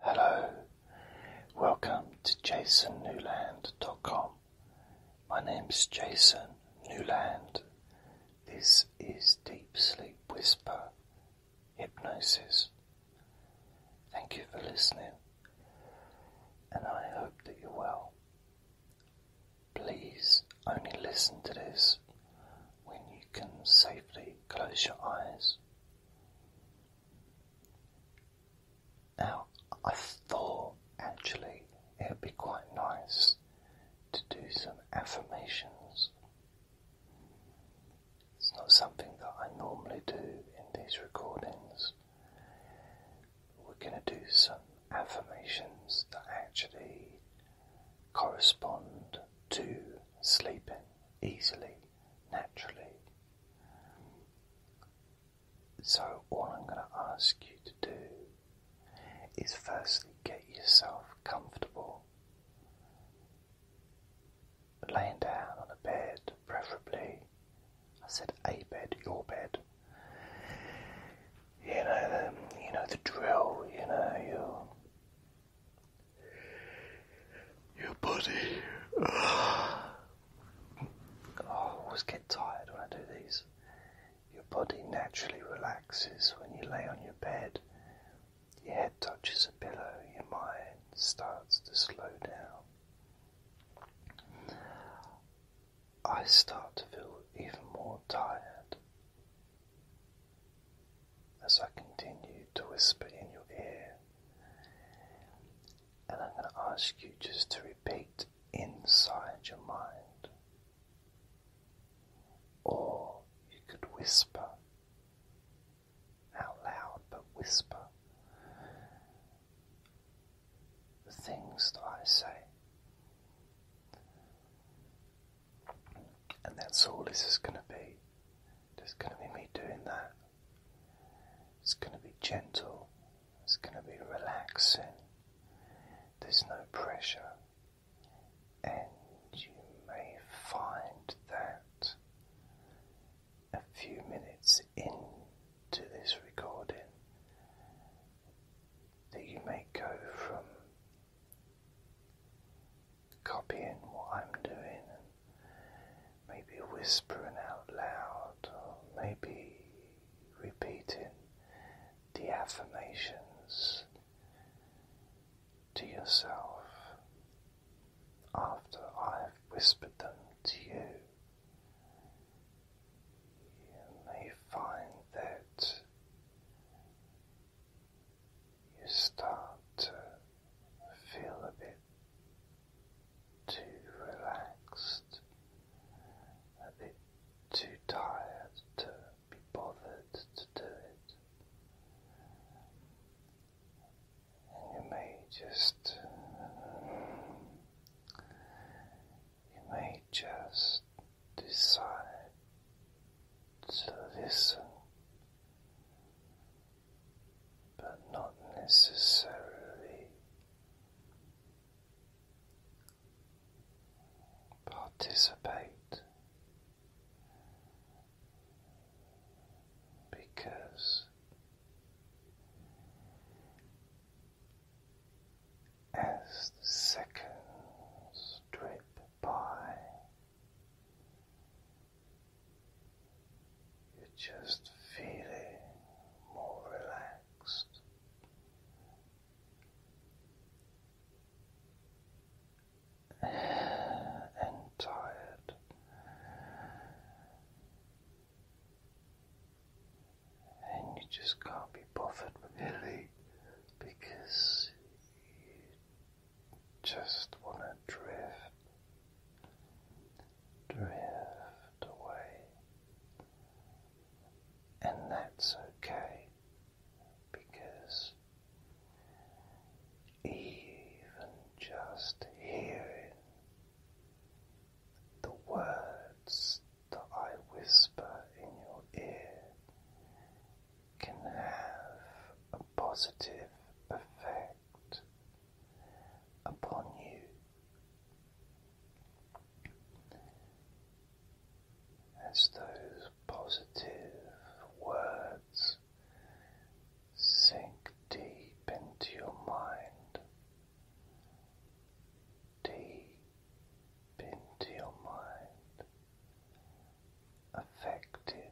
Hello, welcome to jasonnewland.com. My name is Jason Newland. This is Deep Sleep Whisper Hypnosis. Thank you for listening, and I hope that you're well. Please only listen to this when you can safely close your eyes. Now, I thought actually it would be quite nice to do some affirmations. It's not something that I normally do in these recordings. We're going to do some affirmations that actually correspond to sleeping easily naturally. So, all I'm going to ask you to do is firstly get yourself comfortable, laying down on a bed, preferably. I said a bed, your bed. You know the, you know the drill. You know you're your body. I always get tired when I do these. Your body naturally relaxes when you lay on your bed. Your head touches a pillow, your mind starts to slow down. I start to feel even more tired as I continue to whisper in your ear. And I'm going to ask you just to repeat inside your mind. Or you could whisper out loud, but whisper the things that I say. And that's all this is going to be. There's going to be me doing that. It's going to be gentle. It's going to be relaxing. There's no pressure. And you may find that a few minutes into this recording that you may go from copying what I'm doing and maybe whispering out loud or maybe repeating the affirmations to yourself after I've whispered them to you. You may find that you start to feel a bit too relaxed, a bit too tired to be bothered to do it. And you may just, you may just decide to listen but not necessarily participate because as the seconds drip by. You're just feeling more relaxed. And tired, and you just can't be bothered really because you just want to drift, drift away, and that's okay because even just hearing the words that I whisper in your ear can have a positive effect upon you. As those positive words sink deep into your mind, deep into your mind, affecting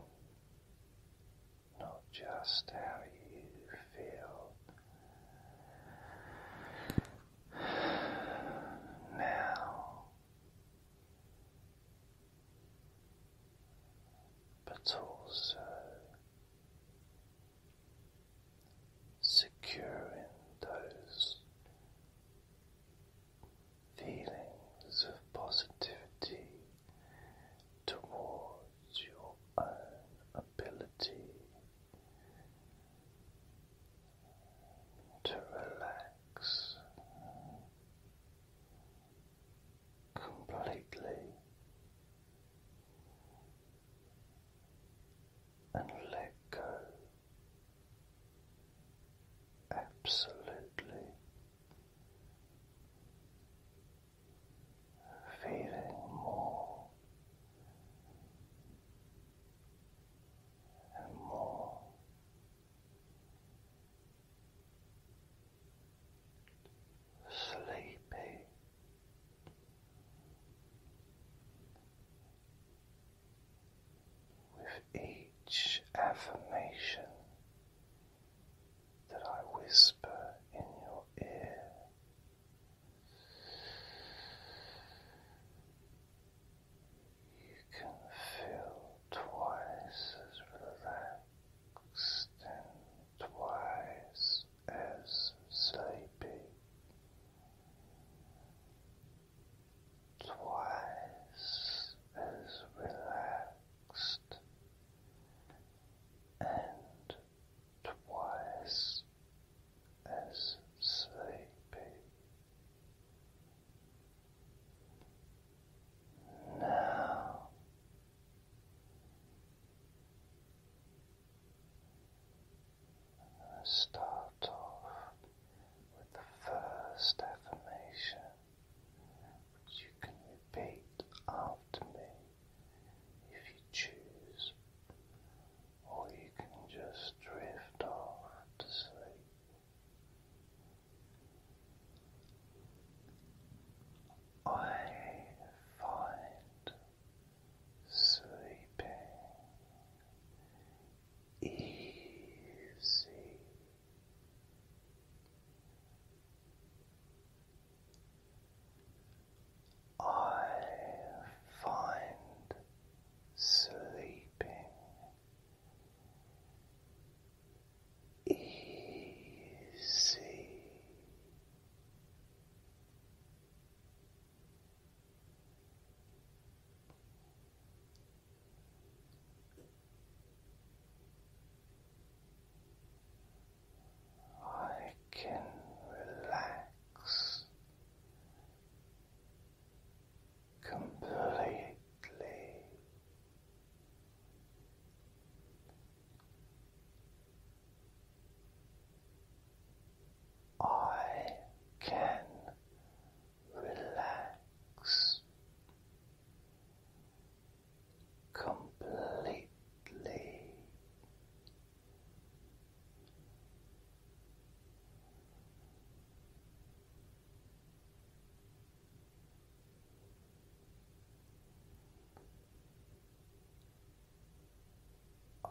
not just how you feel. Now, but also secure in those feelings of positivity towards your own ability to relax completely and let go absolutely feeling more and more sleepy. With each affirmation, that I whisper in your ear. You can feel twice as relaxed and twice as sleepy, twice as relaxed and twice as sleepy. Now start off with the first affirmation you can repeat after me if you choose, or you can just drift off to sleep. I find sleeping easy I find sleeping easy. I can relax completely. I can relax completely.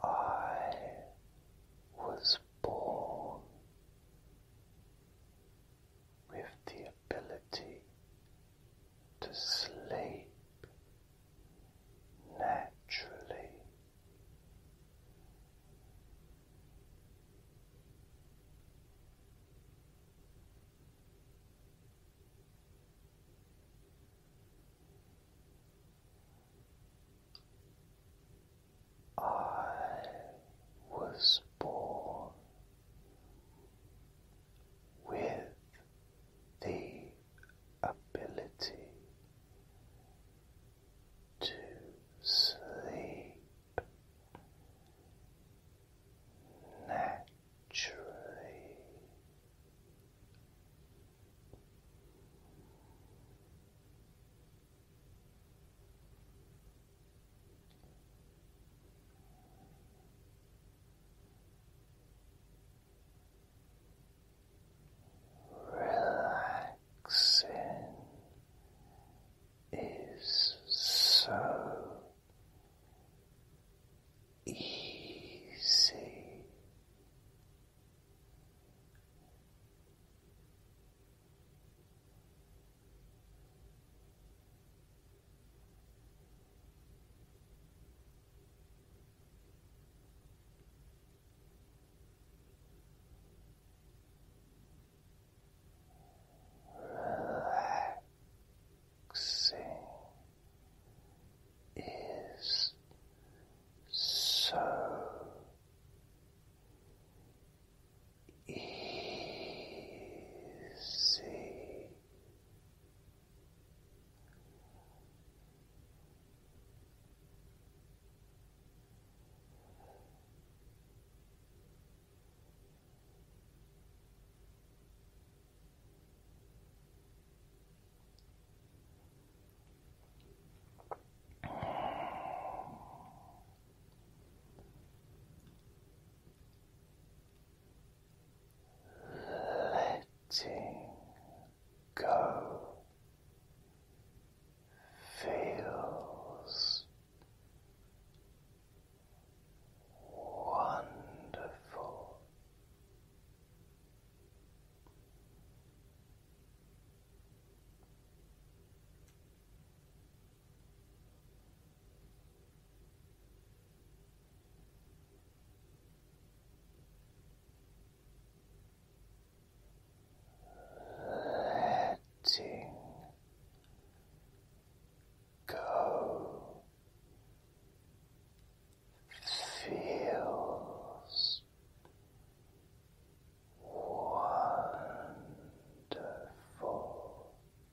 I was born with the ability to sleep naturally. I was was born with the ability to sleep naturally. Relaxing is so easy. Relaxing is so easy letting go feels wonderful. Letting go feels wonderful.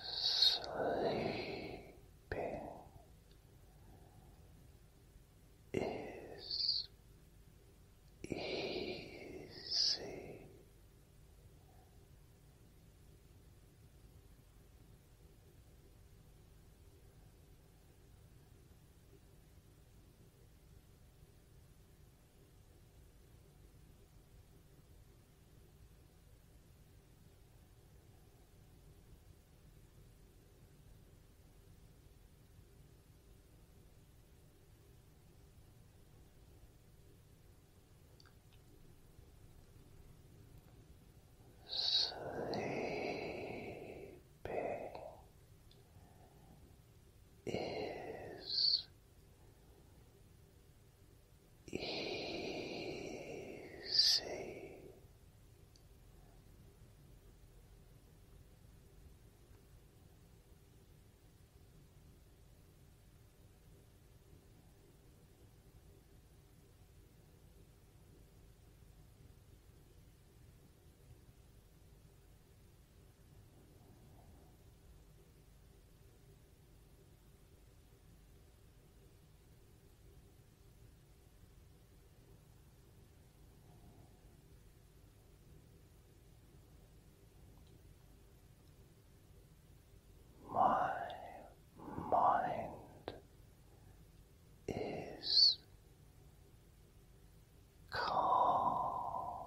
Sleeping is easy. Sleeping is easy. My mind is calm.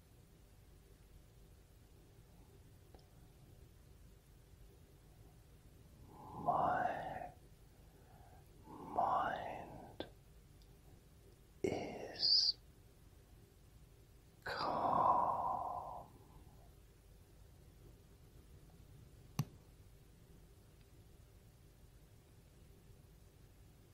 My mind is calm.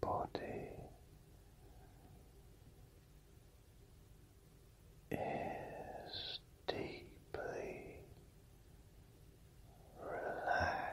body is deeply relaxed.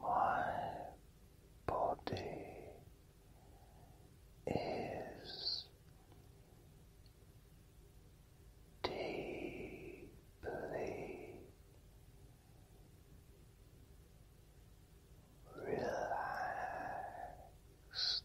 My body is deeply relaxed.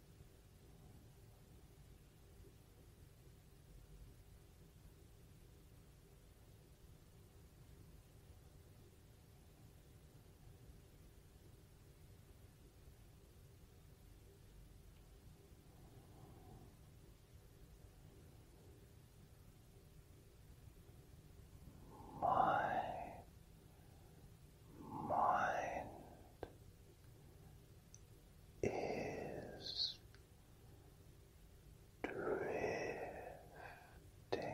My mind is drifting.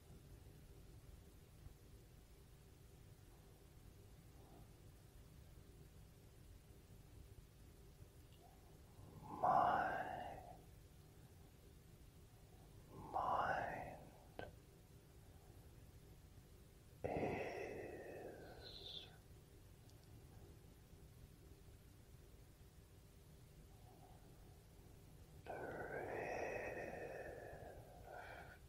My mind is drifting.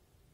Feeling sleepy.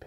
be